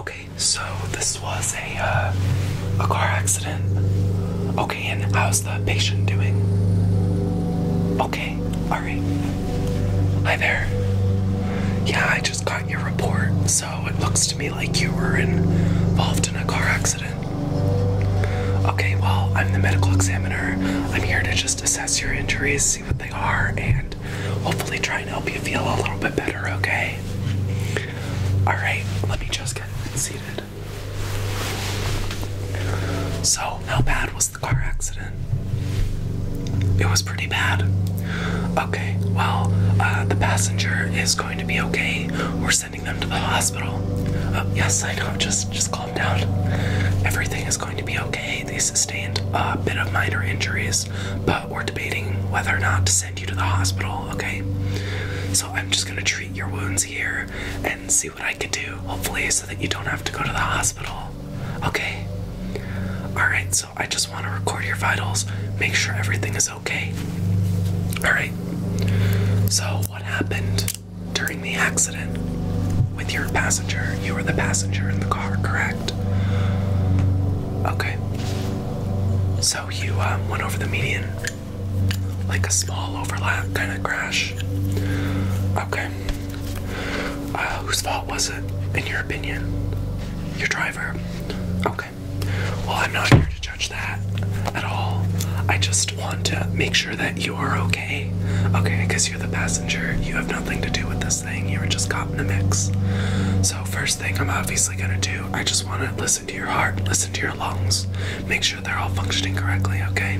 Okay, so this was a uh, a car accident. Okay, and how's the patient doing? Okay, all right. Hi there. Yeah, I just got your report, so it looks to me like you were involved in a car accident. Okay, well, I'm the medical examiner. I'm here to just assess your injuries, see what they are, and hopefully try and help you feel a little bit better, okay? Alright, let me just get seated. So, how bad was the car accident? It was pretty bad. Okay, well, uh, the passenger is going to be okay. We're sending them to the hospital. Uh, yes, I know. Just, just calm down. Everything is going to be okay. They sustained a bit of minor injuries, but we're debating whether or not to send you to the hospital, okay? So I'm just gonna treat your wounds here and see what I can do, hopefully, so that you don't have to go to the hospital, okay? Alright, so I just wanna record your vitals, make sure everything is okay. Alright, so what happened during the accident with your passenger? You were the passenger in the car, correct? Okay. So you um, went over the median, like a small overlap kind of crash. Okay. Uh, whose fault was it, in your opinion? Your driver. Okay. Well, I'm not here to judge that at all. I just want to make sure that you are okay. Okay, because you're the passenger. You have nothing to do with this thing. You were just caught in the mix. So, first thing I'm obviously gonna do. I just wanna listen to your heart, listen to your lungs, make sure they're all functioning correctly, okay?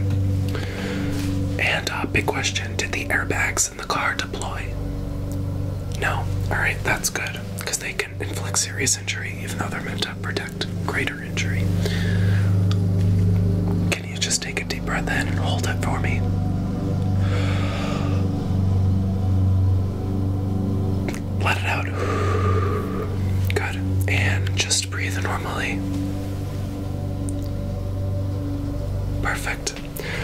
And uh, big question did the airbags in the car deploy? No? Alright, that's good, because they can inflict serious injury even though they're meant to protect greater injury. Can you just take a deep breath in and hold it for me? Let it out. Good. And just breathe normally. Perfect.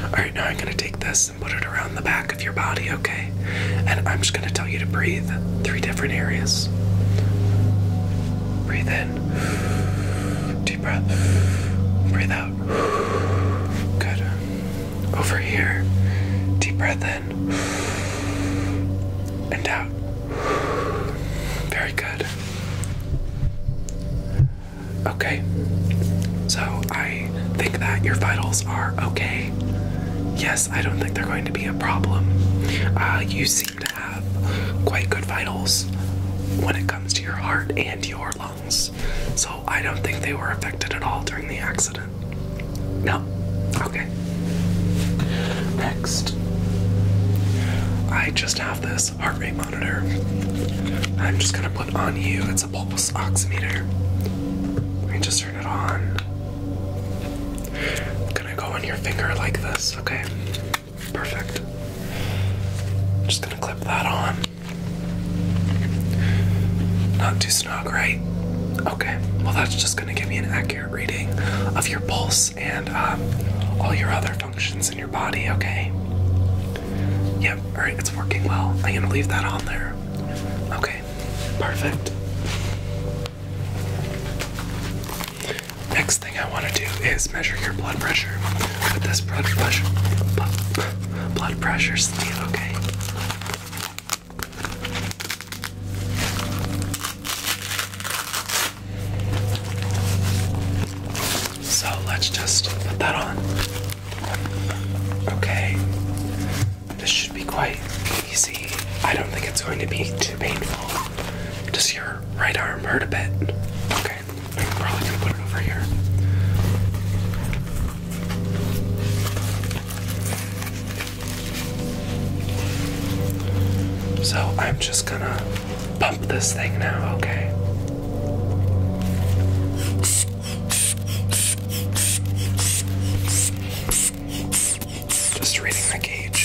Alright, now I'm going to take this and put it around the back of your body, okay? And I'm just going to tell you to breathe three different areas. Breathe in. Deep breath. Breathe out. Good. Over here. Deep breath in. And out. Very good. Okay. So I think that your vitals are okay. Yes, I don't think they're going to be a problem. Uh, you seem to have quite good vitals when it comes to your heart and your lungs. So I don't think they were affected at all during the accident. No. Okay. Next. I just have this heart rate monitor. I'm just gonna put on you. It's a pulse oximeter. Let me just turn it on. I'm gonna go on your finger like this, okay? Perfect. Just gonna clip that on. Not too snug, right? Okay, well, that's just going to give me an accurate reading of your pulse and um, all your other functions in your body, okay? Yep, alright, it's working well. I'm going to leave that on there. Okay, perfect. Next thing I want to do is measure your blood pressure with this blood pressure blood pressure sleeve, okay? So let's just put that on. Okay. This should be quite easy. I don't think it's going to be too painful. Does your right arm hurt a bit? Okay. I'm probably gonna put it over here. So I'm just gonna pump this thing now, okay? Just reading the gauge.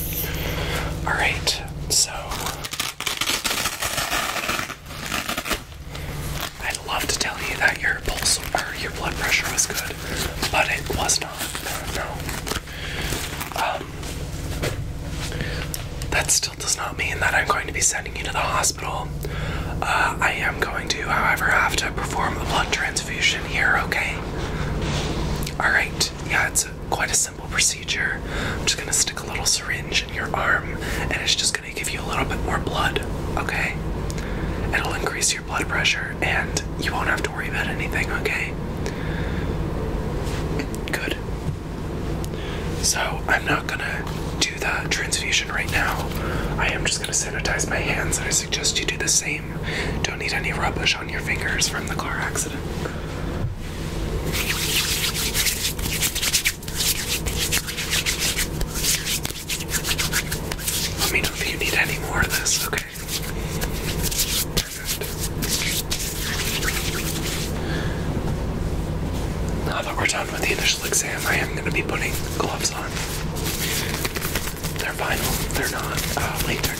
All right, so I'd love to tell you that your pulse or your blood pressure was good, but it was not. No. Um, that still does not mean that I'm going to be sending you to the hospital. Uh, I am going to, however, have to perform a blood transfusion here, okay? All right, yeah, it's quite a simple procedure. I'm just gonna stick a little syringe in your arm, and it's just gonna give you a little bit more blood, okay? It'll increase your blood pressure, and you won't have to worry about anything, okay? Good. So, I'm not gonna do the transfusion right now. I am just gonna sanitize my hands, and I suggest you do the same. Don't need any rubbish on your fingers from the car accident. Let me know if you need any more of this, okay? Perfect. Now that we're done with the initial exam, I am going to be putting gloves on. They're vinyl, they're not uh, latex.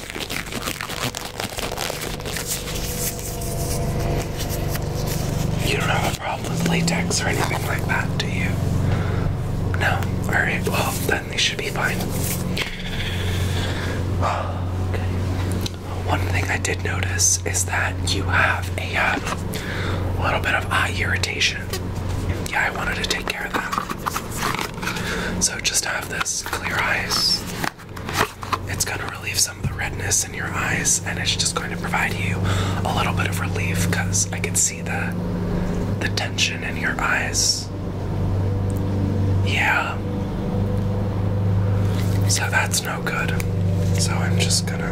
You don't have a problem with latex or anything like that, do you? No? Alright, well, then they should be fine. One thing I did notice is that you have a um, little bit of eye irritation. Yeah, I wanted to take care of that. So just have this clear eyes. It's gonna relieve some of the redness in your eyes, and it's just going to provide you a little bit of relief because I can see the the tension in your eyes. Yeah. So that's no good. So I'm just gonna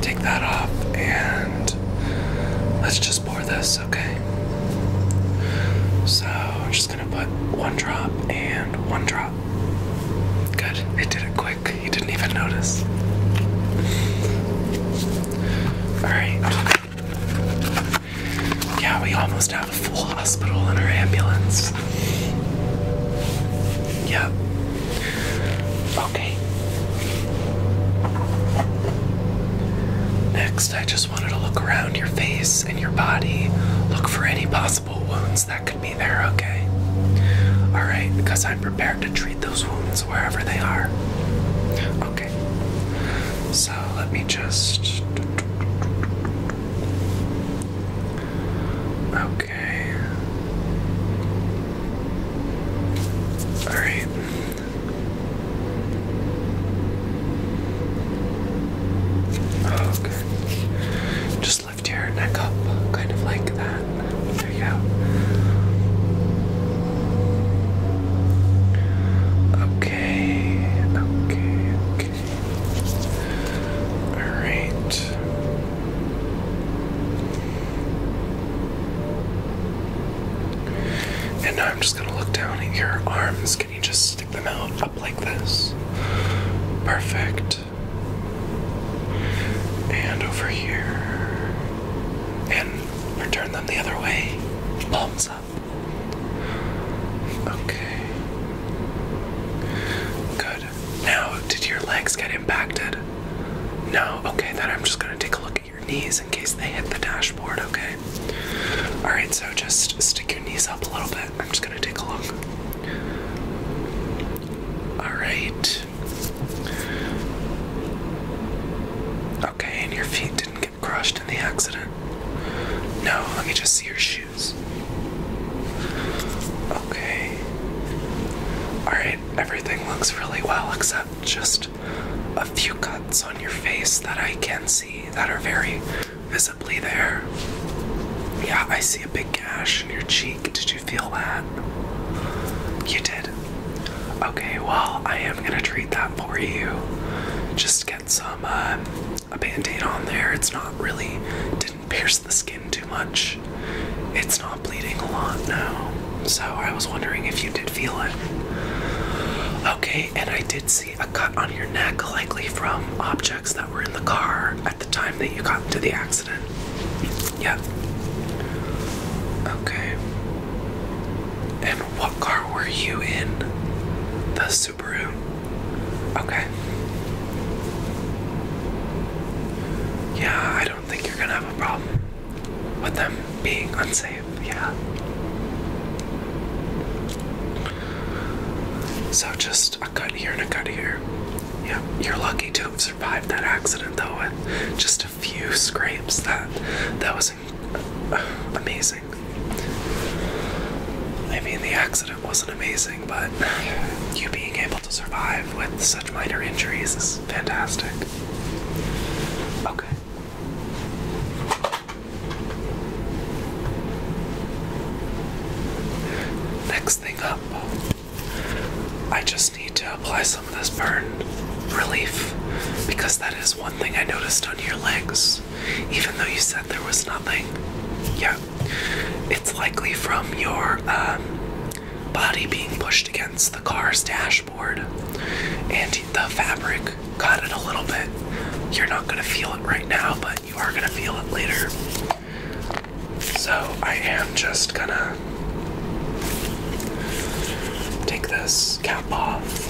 take that off and let's just pour this okay? So I'm just gonna put one drop and one drop. Good, I did it quick. You didn't even notice. Alright. Yeah, we almost have a full hospital in our ambulance. Yep. Okay. Next, I just just wanted to look around your face and your body, look for any possible wounds that could be there, okay? Alright, because I'm prepared to treat those wounds wherever they are. Okay. So let me just. Okay. Alright. Okay. Just lift your neck up, kind of like that. There you go. Okay, okay, okay. Alright. And I'm just just gonna look down at your arms. Can you just stick them out up like this? Perfect. And over here. And return them the other way. Palms up. Okay. Good. Now, did your legs get impacted? No? Okay, then I'm just gonna take a look your knees in case they hit the dashboard, okay? Alright, so just stick your knees up a little bit. I'm just gonna take a look. Alright. Okay, and your feet didn't get crushed in the accident. No, let me just see your shoes. Okay. Alright, everything looks really well except just a few cuts on your face that I can not see that are very visibly there. Yeah, I see a big gash in your cheek. Did you feel that? You did. Okay, well, I am gonna treat that for you. Just get some uh, a band on there. It's not really didn't pierce the skin too much. It's not bleeding a lot now. So I was wondering if you did feel it. Okay, and I did see a cut on your neck, likely from objects that were in the car at the time that you got into the accident. Yeah. Okay. And what car were you in? The Subaru. Okay. Yeah, I don't think you're gonna have a problem with them being unsafe yeah. So just a cut here and a cut here. Yeah, you're lucky to have survived that accident though with just a few scrapes. That that was amazing. I mean, the accident wasn't amazing, but you being able to survive with such minor injuries is fantastic. Okay. Next thing up, I just need to apply some of this burn relief because that is one thing I noticed on your legs, even though you said there was nothing. Yeah, it's likely from your um, body being pushed against the car's dash dashboard and the fabric got it a little bit. You're not going to feel it right now, but you are going to feel it later. So I am just going to take this cap off.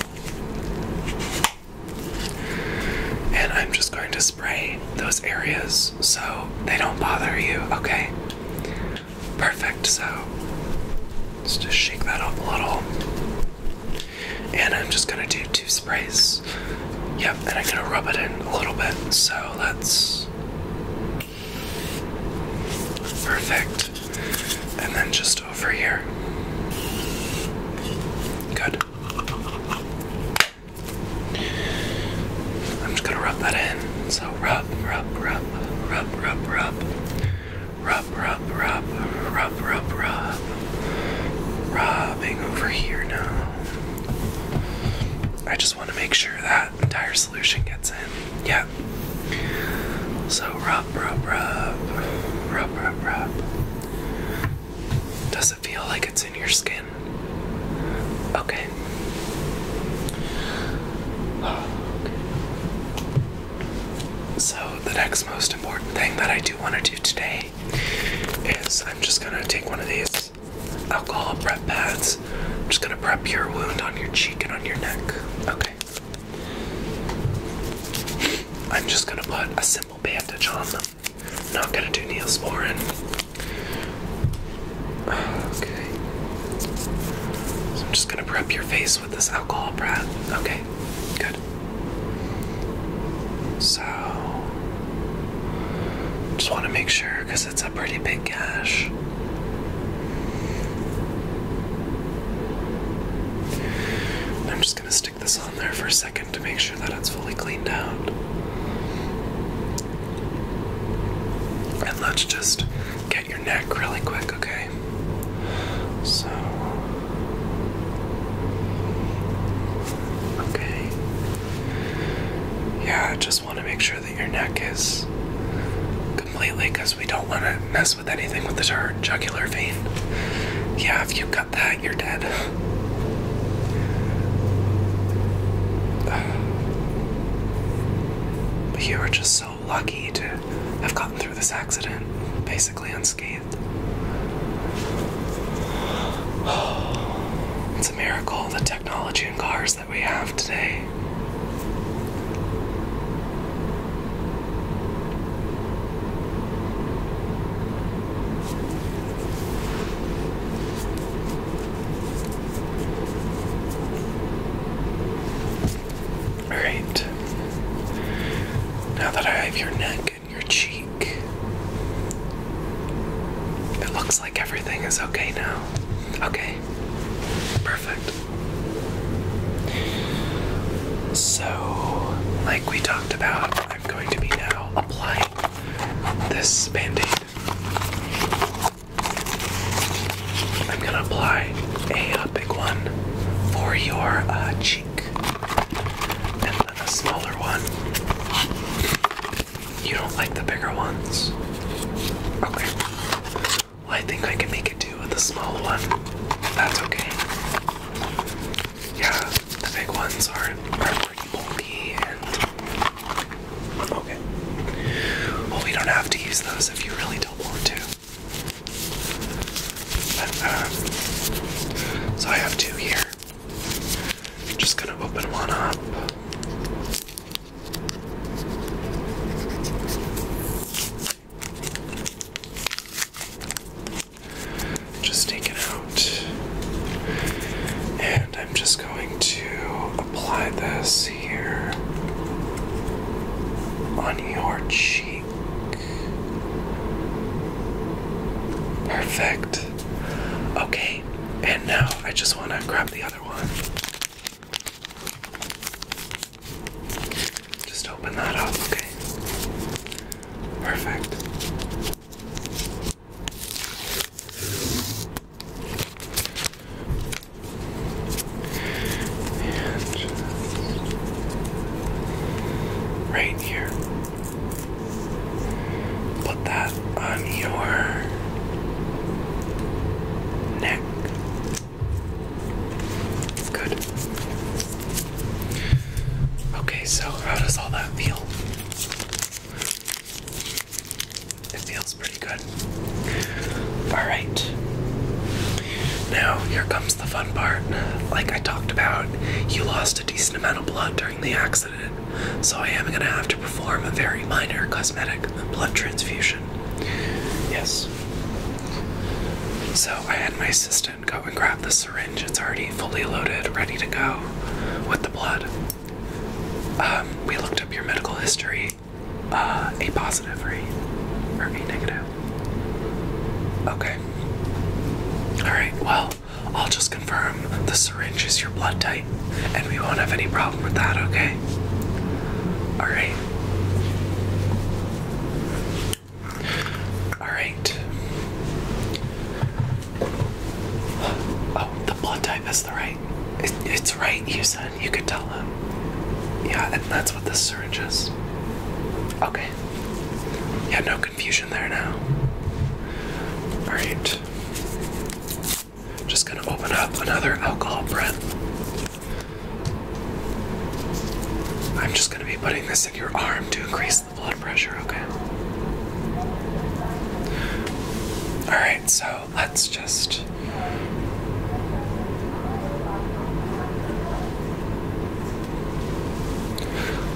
And I'm just going to spray those areas so they don't bother you, okay? Perfect, so let's just shake that up a little and I'm just gonna do two sprays. Yep, and I'm gonna rub it in a little bit. So that's Perfect. And then just over here. Good. I'm just gonna rub that in. So rub, rub, rub, rub, rub, rub, Rub, rub, rub, rub, rub, rub. Rubbing over here now. I just want to make sure that entire solution gets in. Yeah. So rub, rub, rub, rub, rub, rub. Does it feel like it's in your skin? Okay. okay. So the next most important thing that I do want to do today is I'm just gonna take one of these alcohol prep pads. I'm just gonna prep your wound on your cheek and on your neck. Okay. I'm just gonna put a simple bandage on them. I'm not gonna do Neosporin. Okay. So I'm just gonna prep your face with this alcohol breath. Okay, good. So, just want to make sure because it's a pretty big gash. I'm just going to stick this on there for a second to make sure that it's fully cleaned out. And let's just get your neck really quick okay? So. Okay. Yeah, I just want to make sure that your neck is completely because we don't want to mess with anything with the jugular vein. Yeah, if you cut that, you're dead. But you are just so lucky to have gotten through this accident basically unscathed. It's a miracle the technology and cars that we have today. Alright. Now that I have your neck and your cheek, it looks like everything is okay now. Okay. Perfect. So, like we talked about, I'm going to be now applying this band aid. I'm gonna apply a, big one for your uh, cheek and then a smaller one. You don't like the bigger ones? Okay. Well, I think I can make it do with the small one. That's okay. Yeah, the big ones are, are pretty bulky and. Okay. Well, we don't have to use those if you really don't want to. Uh, so I have two here. just gonna open one up. Just take it out. And I'm just going to apply this here on your cheek. Perfect. Okay, and now I just want to grab the other one. Just open that up, okay? Perfect. And just right here. Put that on your neck. Good. Okay, so how does all that feel? It feels pretty good. Alright. Now, here comes the fun part. Like I talked about, you lost a decent amount of blood during the accident, so I am gonna have to perform a very minor cosmetic blood transfusion. Yes. So I had my assistant go and grab the syringe. It's already fully loaded, ready to go with the blood. Um, we looked up your medical history. Uh, a positive, right? Or A negative. Okay. Alright, well, I'll just confirm the syringe is your blood type, and we won't have any problem with that, okay? Alright. Alright. Oh, the blood type is the right. it's right, you said. You could tell them. Yeah, and that's what the syringe is. Okay. Yeah, no confusion there now. Alright. Just gonna open up another alcohol breath. I'm just gonna be putting this in your arm to increase the blood pressure, okay? Alright, so let's just.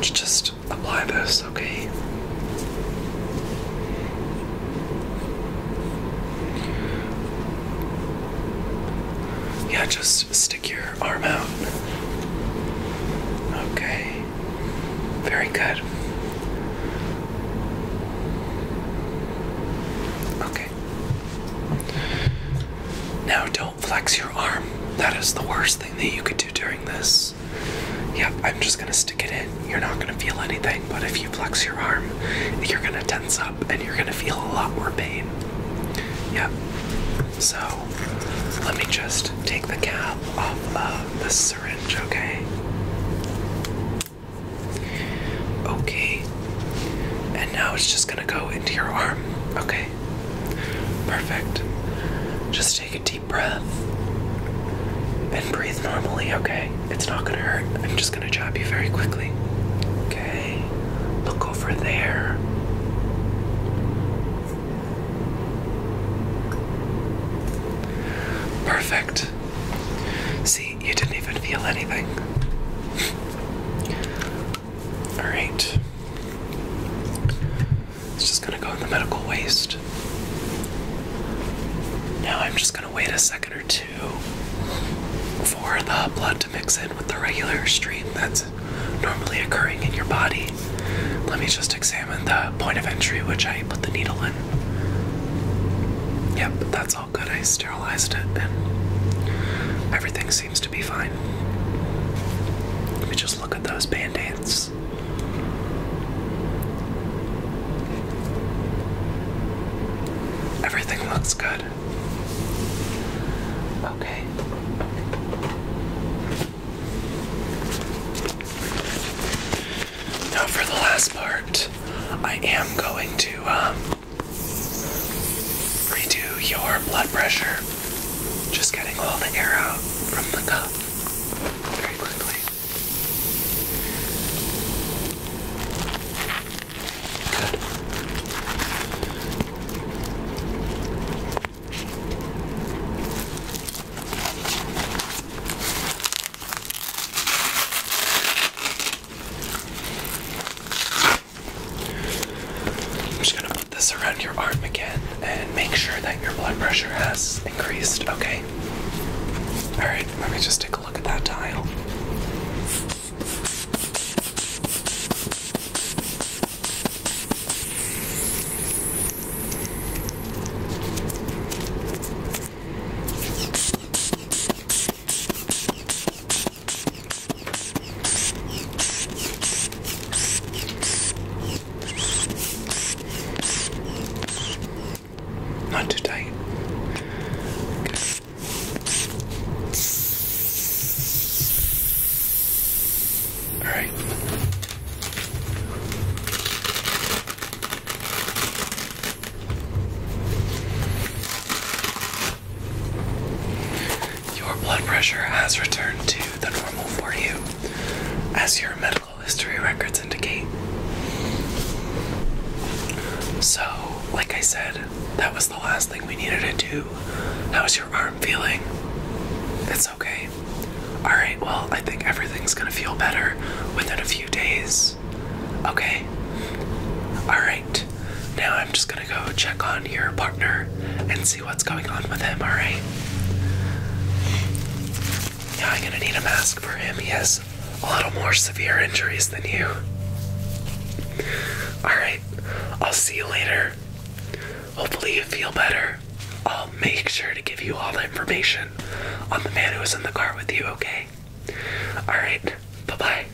Just apply this, okay? Yeah, just stick your arm out. Okay. Very good. Okay. Now, don't don't flex your arm. That is the worst thing that you could do during this. Yep, I'm just gonna stick it in. You're not gonna feel anything, but if you flex your arm, you're gonna tense up and you're gonna feel a lot more pain. Yep. So, let me just take the cap off of the syringe, okay? Okay. And now it's just gonna go into your arm, okay? Perfect. Just take a deep breath and breathe normally, okay? It's not gonna hurt. I'm just gonna jab you very quickly. Okay. Look over there. Perfect. See, you didn't even feel anything. All right. It's just gonna go in the medical waste. Now I'm just gonna wait a second or two for the blood to mix in with the regular stream that's normally occurring in your body. Let me just examine the point of entry which I put the needle in. Yep, that's all good. I sterilized it and everything seems seems to be fine. Let me just look at those band aids. Everything looks good. Okay. Now, for the last part, I am going to um, Redo your blood pressure. Just getting all the air out from the cup very quickly. Good. I'm just gonna put this around your arm again and make sure that your blood pressure has increased, okay? Alright, let me just take a look at that dial. Not today. Okay. All right. Your blood pressure has returned to the normal for you, as your medical history records indicate. So, like I said, that was the last thing we needed to do. How's your arm feeling? It's okay. Alright, well, I think everything's gonna feel better within a few days. Okay? Alright, now I'm just gonna gonna go check on your partner and see what's going on with him, alright? Yeah, I'm gonna need a mask for him. He has a little more severe injuries than you. Alright, I'll see you later. Hopefully, you feel better. I'll make sure to give you all the information on the man who was in the car with you, okay? Alright, bye bye.